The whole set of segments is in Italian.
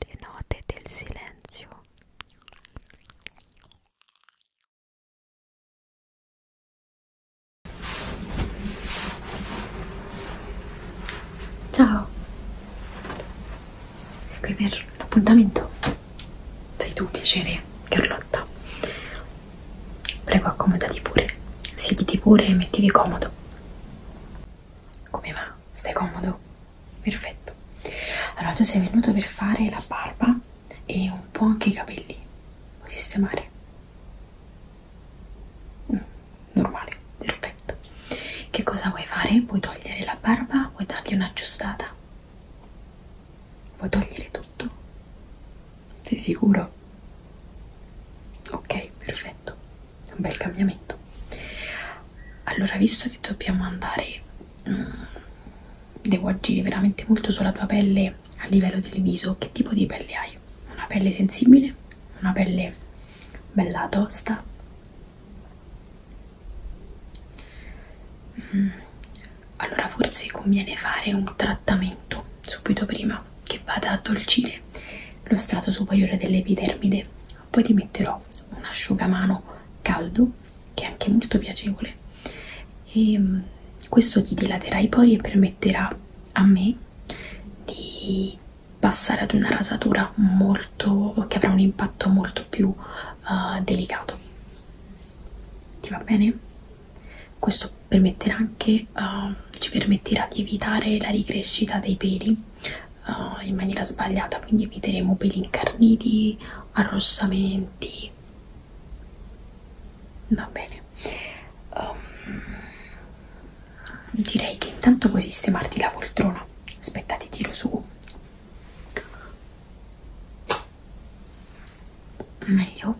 le note del silenzio Ciao, sei qui per l'appuntamento? Sei tu, piacere, Carlotta. Prego, accomodati pure, siediti pure e mettiti comodo. Come va? Stai comodo? Perfetto. Allora tu sei venuto per fare la barba e un po' anche i capelli. Puoi sistemare? Mm, normale, perfetto. Che cosa vuoi fare? Vuoi togliere la barba? Vuoi dargli una giustata? Vuoi togliere tutto? Sei sicuro? Ok, perfetto un bel cambiamento allora visto che dobbiamo andare mh, mm, devo agire veramente molto sulla tua pelle a livello del viso che tipo di pelle hai? una pelle sensibile? una pelle bella tosta? Mm, allora forse conviene fare un trattamento subito prima crema che vada a addolcire lo strato superiore dell'epidermide. Poi ti metterò un asciugamano caldo che è anche molto piacevole e ehm, questo ti dilaterà i pori e permetterà a me di passare ad una rasatura molto che avrà un impatto molto più uh, delicato. Ti va bene? questo permetterà anche uh, ci permetterà di evitare la ricrescita dei peli uh, in maniera sbagliata quindi eviteremo peli incarniti arrossamenti va bene um, direi che intanto puoi sistemarti la poltrona aspetta ti tiro su meglio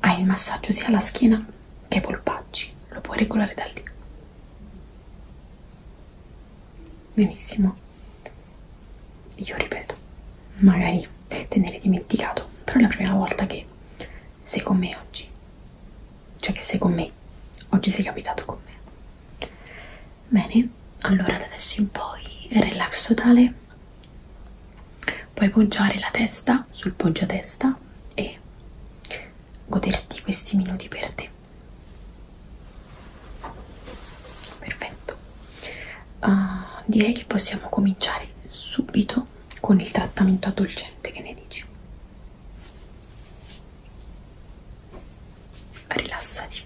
hai il massaggio sia alla schiena che ai polpacci, lo puoi regolare da lì. Benissimo. Io ripeto, magari te ne eri dimenticato, però è la prima volta che sei con me oggi. Cioè che sei con me. Oggi sei capitato con me. Bene, allora da adesso in poi il relax totale bene puoi poggiare la testa sul poggiatesta e goderti questi minuti per te perfetto uh, direi che possiamo cominciare subito con il trattamento addolcente che ne dici rilassati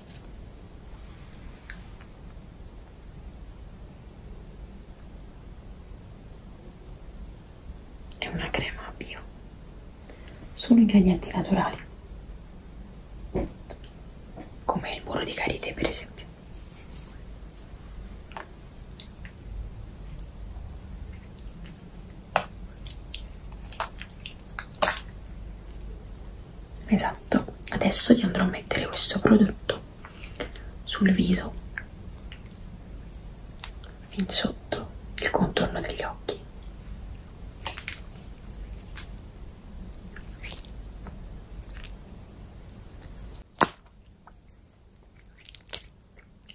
è una crema bio, sono ingredienti naturali, come il burro di karité per esempio. Esatto, adesso ti andrò a mettere questo prodotto sul viso, fin sotto il contorno degli occhi.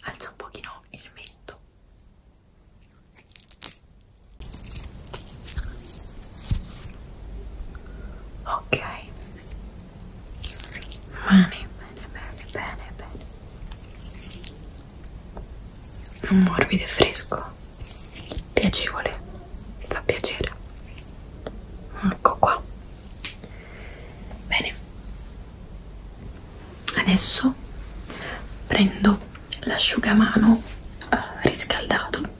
Alza un pochino il mento ok bene bene bene bene bene morbido e fresco piacevole fa piacere ecco qua bene adesso prendo l'asciugamano eh, riscaldato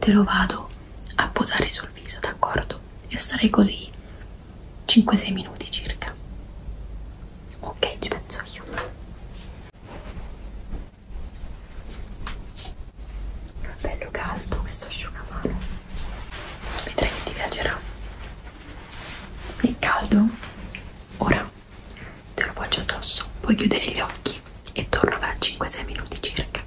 te lo vado a posare sul viso, d'accordo? E sarei così 5-6 minuti circa. Ok, ci penso io. Bello caldo questo asciugamano. Vedrai che ti piacerà. È caldo? Ora te lo poggio addosso, puoi chiudere gli occhi e torno fra 5-6 minuti circa.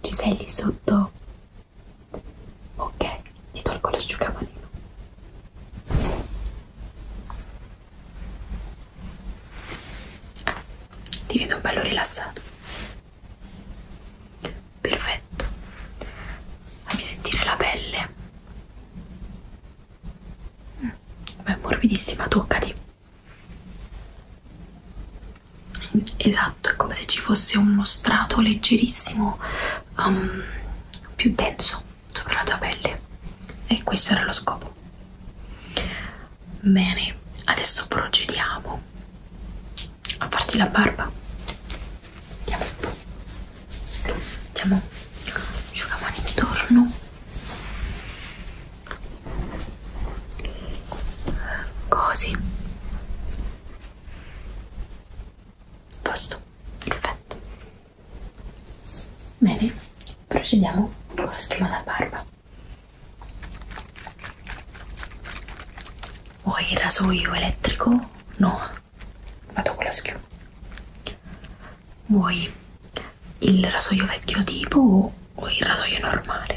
Ci sei lì sotto? Ok, ti tolgo l'asciugamanino. Ah, ti vedo bello rilassato perfetto fammi sentire la pelle mm, è morbidissima toccati esatto è come se ci fosse uno strato leggerissimo um, più denso sopra la tua pelle e questo era lo scopo bene adesso procediamo a farti la barba andiamo un po' andiamo asciugamani intorno così posto perfetto bene procediamo con lo schema da barba vuoi il rasoio elettrico? no vado con la schiuma vuoi il rasoio vecchio tipo o, o il rasoio normale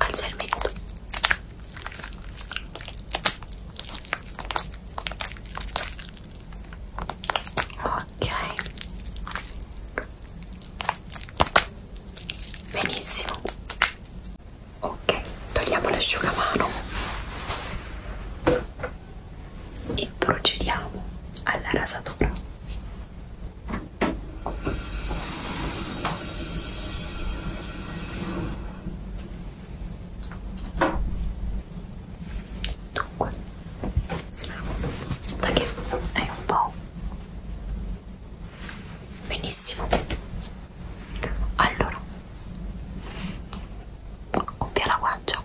alza il mento ok benissimo ok togliamo l'asciugamano e procediamo alla rasatura Dunque, da che hai un po' benissimo. Allora, compia la guancia.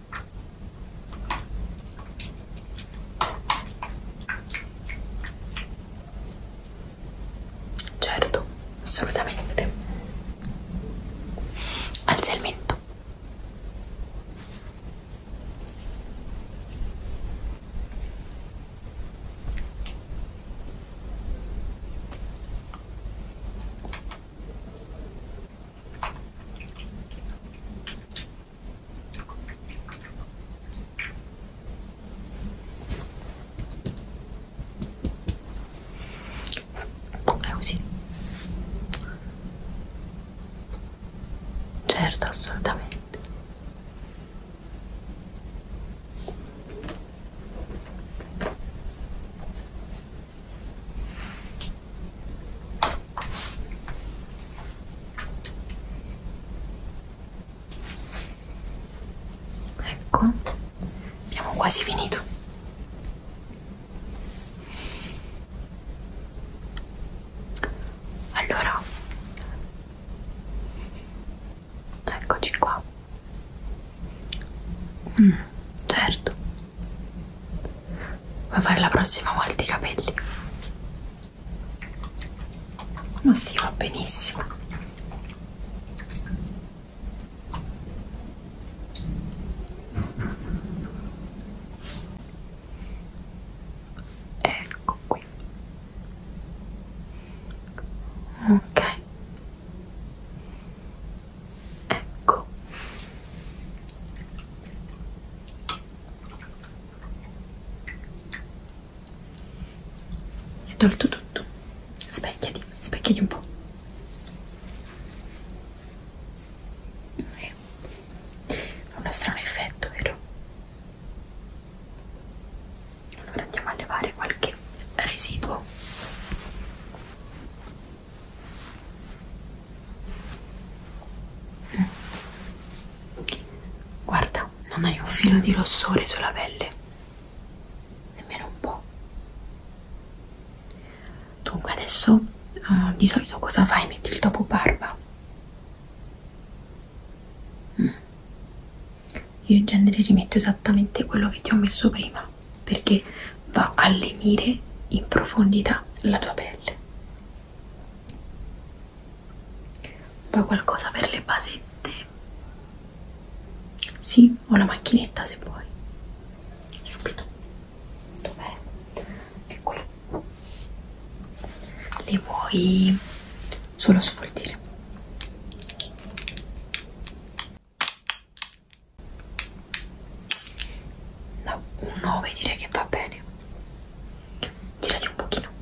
Certo, assolutamente. Alza il mento è ah, così certo assolutamente Ecco, abbiamo quasi finito. Allora, eccoci qua. Mm, certo. Vuoi fare la prossima volta i capelli? Ma sì, va benissimo. Ecco qui. Ok ecco è tolto tutto specchiati specchiati un po' eh. fa uno strano effetto vero allora andiamo a levare qualche residuo mm. guarda non hai un filo di rossore sulla pelle nemmeno un po' dunque adesso uh, di solito cosa fai? metti il topo barba mm io in genere rimetto esattamente quello che ti ho messo prima perché va a lenire in profondità la tua pelle poi qualcosa per le basette sì ho la macchinetta se vuoi subito dov'è eccolo le vuoi solo sfoltire da un 9 direi che va bene girati un pochino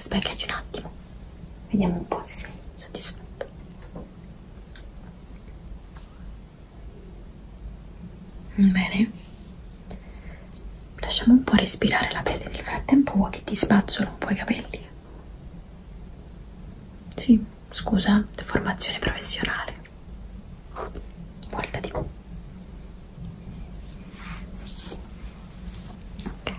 Specchiati un attimo, vediamo un po' se sei soddisfatto. Bene, lasciamo un po' respirare la pelle. Nel frattempo, vuoi che ti spazzolo un po' i capelli? Sì, scusa, formazione professionale. Voltati. Ok.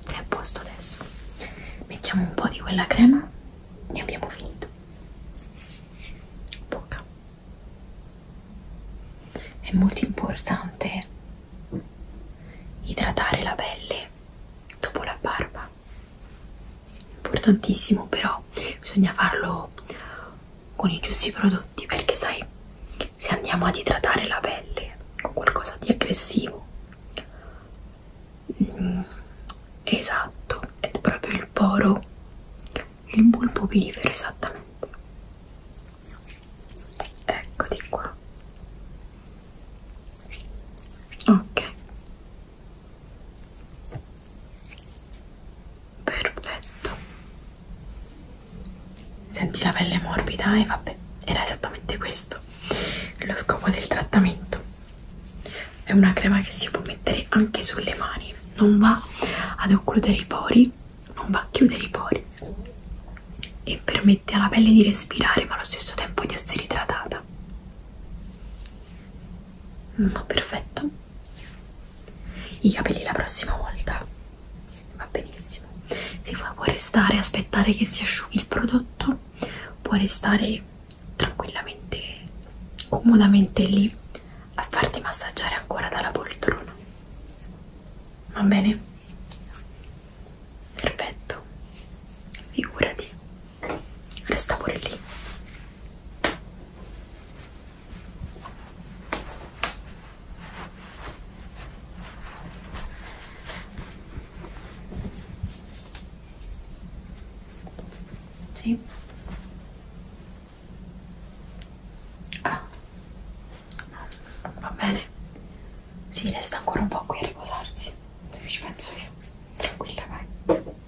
sei a posto adesso mettiamo un po' di quella crema e abbiamo finito poca è molto importante idratare la pelle dopo la barba importantissimo però bisogna farlo con i giusti prodotti perché sai se andiamo ad idratare la pelle con qualcosa di aggressivo Mm, esatto, è proprio il poro, il bulbo bifero esattamente. Eccoti qua. Ok. Perfetto senti la pelle morbida e eh, vabbè, era esattamente questo lo scopo del trattamento. È una crema che si può mettere anche sulle mani, non va ad occludere i pori, non va a chiudere i pori e permette alla pelle di respirare ma allo stesso tempo di essere idratata. Ma mm, perfetto. I capelli la prossima volta va benissimo si può restare aspettare che si asciughi il prodotto può restare tranquillamente comodamente lì a farti massaggiare ancora dalla poltrona va bene perfetto figurati resta pure lì sì. Ah. No, va bene. Si, sì, resta ancora un po' qui a riposarsi. Se ci penso io. Tranquilla, vai.